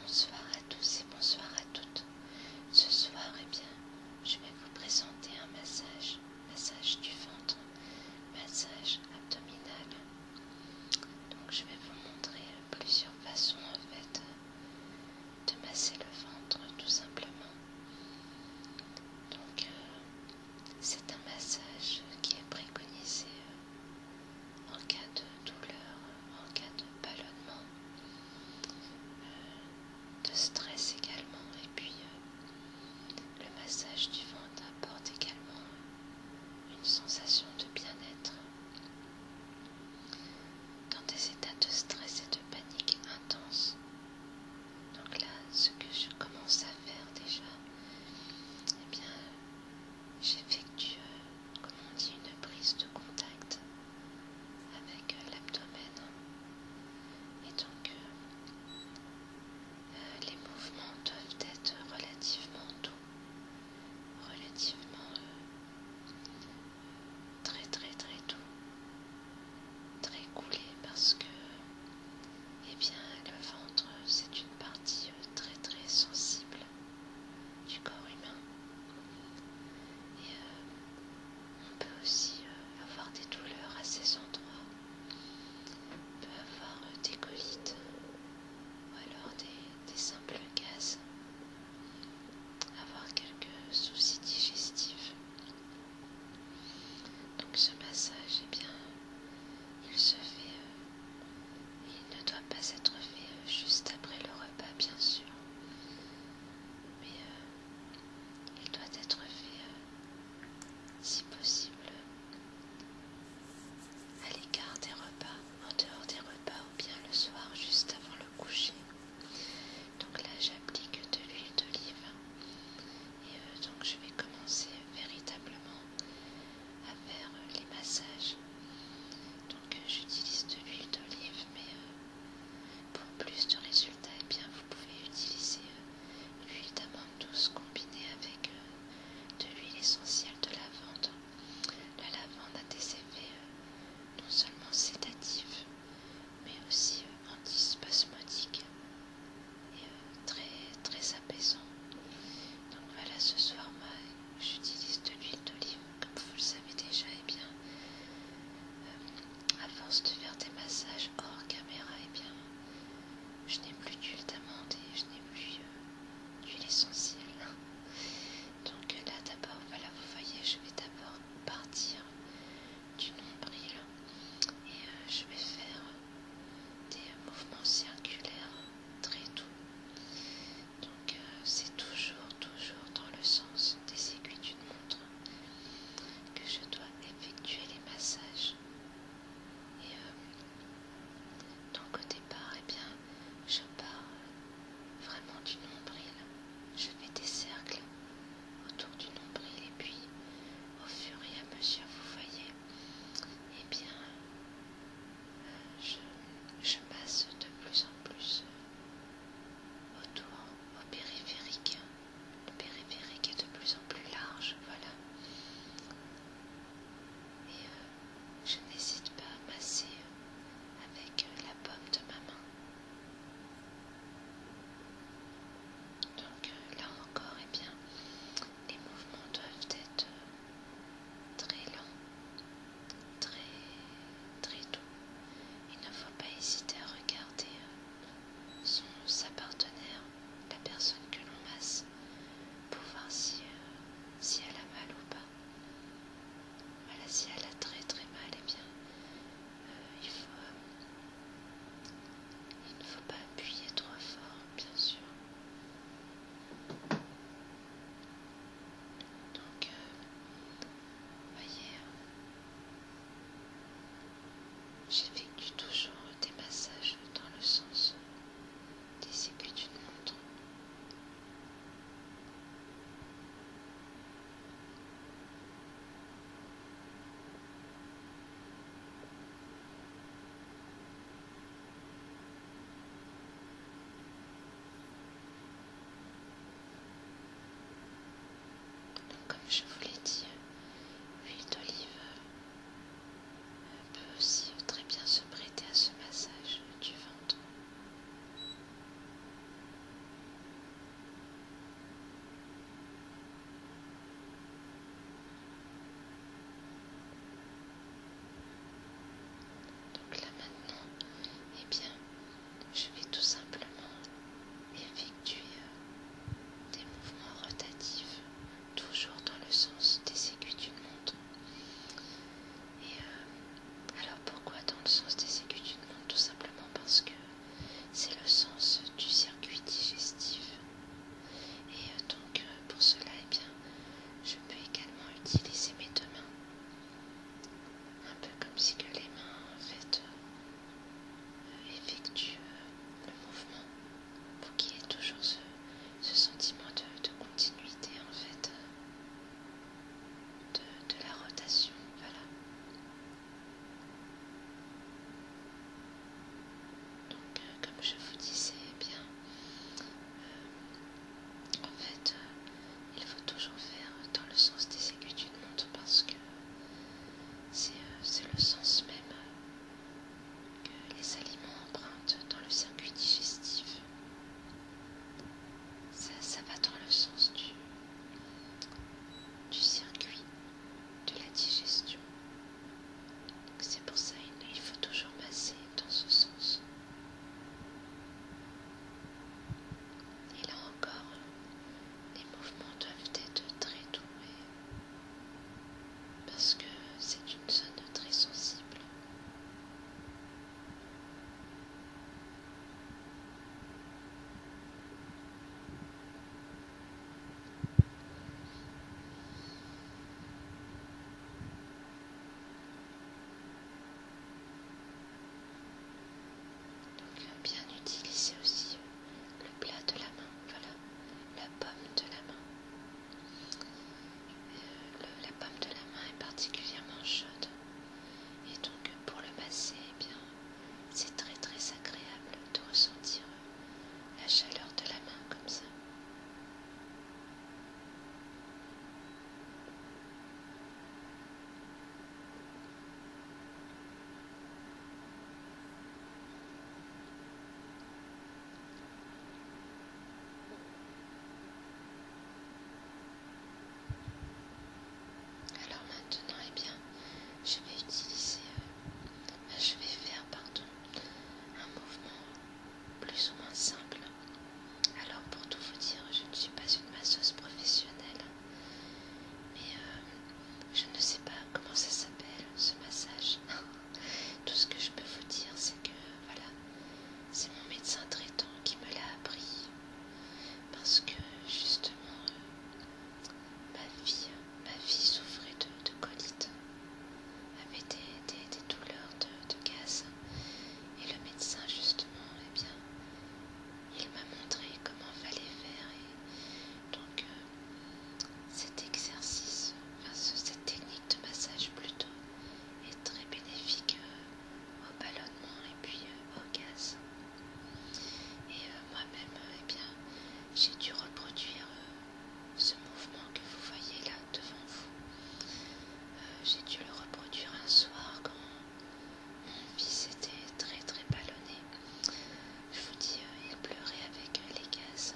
bonsoir à tous et bonsoir à toutes. Ce soir, eh bien, je vais vous présenter un massage, massage du ventre, massage abdominal. Donc, je vais vous montrer plusieurs façons en fait de masser le ventre, tout simplement. Donc, euh, c'est un massage qui est préconisé euh, en cas de douleur, en cas de ballonnement, euh, de stress également. Et puis, le massage du ventre apporte également une sensation de bien-être. Dans des états de stress et de panique intense, donc là, ce que je commence à faire déjà, eh bien, j'effectue, euh, comme on dit, une prise de contact avec euh, l'abdomen. Et donc, euh, les mouvements doivent être relativement doux, relativement très très très doux, très coulé parce que eh le ventre c'est une partie euh, très très sensible du corps humain. Et euh, on peut aussi euh, avoir des douleurs à ces endroits. On peut avoir des colites ou alors des simples gaz. Avoir quelques soucis digestifs. Donc ce massage, eh bien, il se fait, euh, il ne doit pas être fait euh, juste après le repas, bien sûr, mais euh, il doit être fait, si possible, à l'écart des repas, en dehors des repas, ou bien le soir, juste avant le coucher. Donc là j'applique de l'huile d'olive et euh, donc je vais commencer véritablement à faire les massages. Donc euh, j'utilise de l'huile d'olive mais euh, pour plus de résultats eh bien vous pouvez utiliser l'huile d'amande douce combinée avec de l'huile essentielle de lavande. La lavande a des effets non seulement sédatifs mais aussi antispasmodique euh, et euh, très, très apaisant. Donc voilà, ce soir, moi, j'utilise de l'huile d'olive, comme vous le savez déjà, et bien, euh, à force de faire des massages hors caméra, et bien, je n'ai plus d'huile d'amande et je n'ai plus d'huile essentielle. Donc là, d'abord, voilà, vous voyez, je vais d'abord partir du nombril et euh, je vais faire des mouvements circulaires très doux. Donc euh, c'est toujours, toujours dans le sens des aiguilles d'une montre que je dois effectuer les massages. Et euh, donc au départ, et eh bien, je pars vraiment du nombril. Je fais des cercles autour du nombril et puis au fur et à mesure, vous voyez, eh bien, je, passe de plus en plus autour, au périphérique. Le périphérique est de plus en plus large, voilà. Euh, je n'hésite pas à masser euh, avec euh, la pomme de ma main. Donc euh, là encore, et eh bien, les mouvements doivent être très lents, très, doux. Il ne faut pas hésiter à regarder son, sa partenaire, la personne que l'on masse, pour voir si elle a mal ou pas. Voilà, si elle a très très mal, et eh bien, euh, il, faut, euh, il ne faut pas appuyer trop fort, bien sûr. Donc, euh, voyez, euh, j'effectue toujours des massages dans le sens dès que tu montres. Donc, comme je vous l'ai dit, huile d'olive peut aussi très bien se prêter à ce massage du ventre. Donc là maintenant, eh bien, je vais tout simplement effectuer euh, des mouvements rotatifs, toujours dans le sens des aiguilles d'une montre. Et euh, alors pourquoi dans le sens des aiguilles du monde Tout simplement parce que c'est le sens du circuit digestif. Et euh, donc euh, pour cela, eh bien, je peux également utiliser mes deux mains. Un peu comme si les mains en effectuent le mouvement pour qu'il y ait toujours ce, sentiment de, continuité en fait, de, la rotation, voilà. Donc euh, comme je vous disais, eh bien, euh, en fait, euh, il faut toujours faire dans le sens des aiguilles d'une montre parce que c'est le sens même que les aliments empruntent dans le circuit digestif. Ça, ça va dans le sens du, du circuit de la digestion. C'est pour ça qu'il faut toujours passer dans ce sens. Et là encore, les mouvements doivent être très doux parce que c'est une zone très sensible. Donc euh, bien utiliser aussi le plat de la main, voilà, la pomme de la main la pomme de la main est particulièrement chaude et donc pour le passé eh bien, c'est très très agréable de ressentir la chaleur de la main comme ça. Alors maintenant, eh bien, je vais utiliser, euh, je vais faire, pardon, un mouvement plus ou moins simple. Alors pour tout vous dire, je ne suis pas une masseuse professionnelle, mais euh, je ne sais pas comment ça s'appelle ce massage. Tout ce que je peux vous dire, c'est que voilà, c'est mon médecin traitant qui me l'a appris. Parce que justement, euh, ma vie, souffrait de, colite, avait des, douleurs de, gaz. Et le médecin, justement, eh bien, il m'a montré comment fallait faire. Et donc, euh, cet exercice, cette technique de massage plutôt, est très bénéfique euh, au ballonnement et puis euh, au gaz. Et euh, moi-même, eh j'ai dû reproduire ce mouvement que vous voyez là devant vous. j'ai dû le reproduire un soir quand mon fils était très très ballonné je vous dis, euh, il pleurait avec euh, les gaz.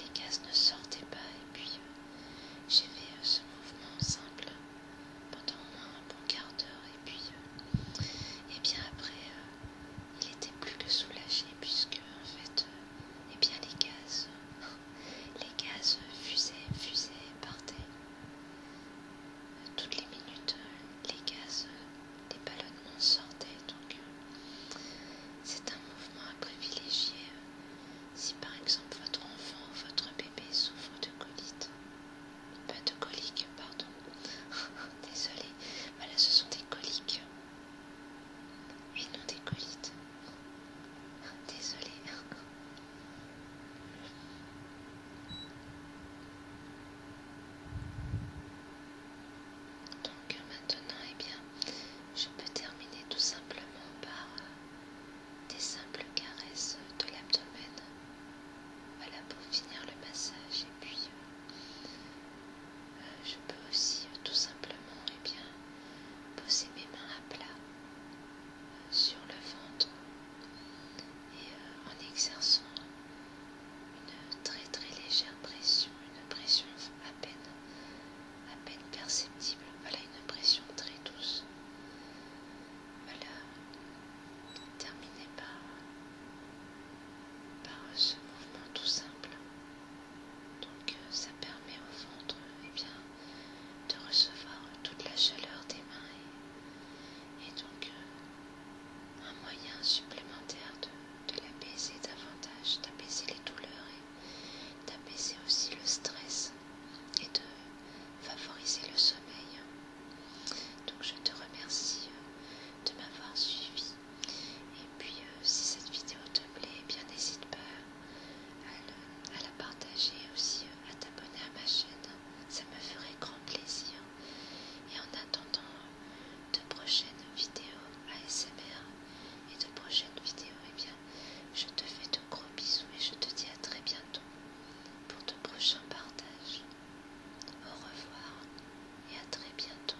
Les gaz ne sortaient pas et puis euh, j'ai fait ce mouvement simple pendant moins un bon quart d'heure et puis et bien après il était plus que soulagé puisque en fait et eh bien les gaz les gaz fusaient fusaient partaient toutes les minutes, euh, les gaz, euh, les ballonnements sortaient. Donc, euh, c'est un mouvement à privilégier si par exemple votre enfant votre bébé souffre de colites. Pas de coliques, pardon. désolé, voilà, ce sont des coliques et non des colites. Désolé. Donc euh, maintenant, eh bien, je peux terminer tout simplement par euh, des simples caresses de l'abdomen. Voilà pour finir le massage et puis euh, je peux aussi tout simplement eh bien poser mes mains à plat sur le ventre et euh, en exerçant une très très légère pression, une pression à peine, à peine perceptible, voilà une pression très douce. Voilà, terminez par, par ce mouvement tout simple. Donc euh, ça permet au ventre eh bien, de recevoir toute la chaleur des mains et, donc euh, un moyen supplémentaire de, l'apaiser davantage, d'apaiser les douleurs et d'apaiser aussi le stress et de favoriser le sommeil. Donc je te remercie euh, de m'avoir suivi. Et puis euh, si cette vidéo te plaît, eh n'hésite pas à, la partager aussi, euh, à t'abonner à ma chaîne ça me ferait grand plaisir. Et en attendant de prochaines vidéos ASMR et de prochaines vidéos, et eh bien, je te fais de gros bisous et je te dis à très bientôt pour de prochains partages. Au revoir et à très bientôt.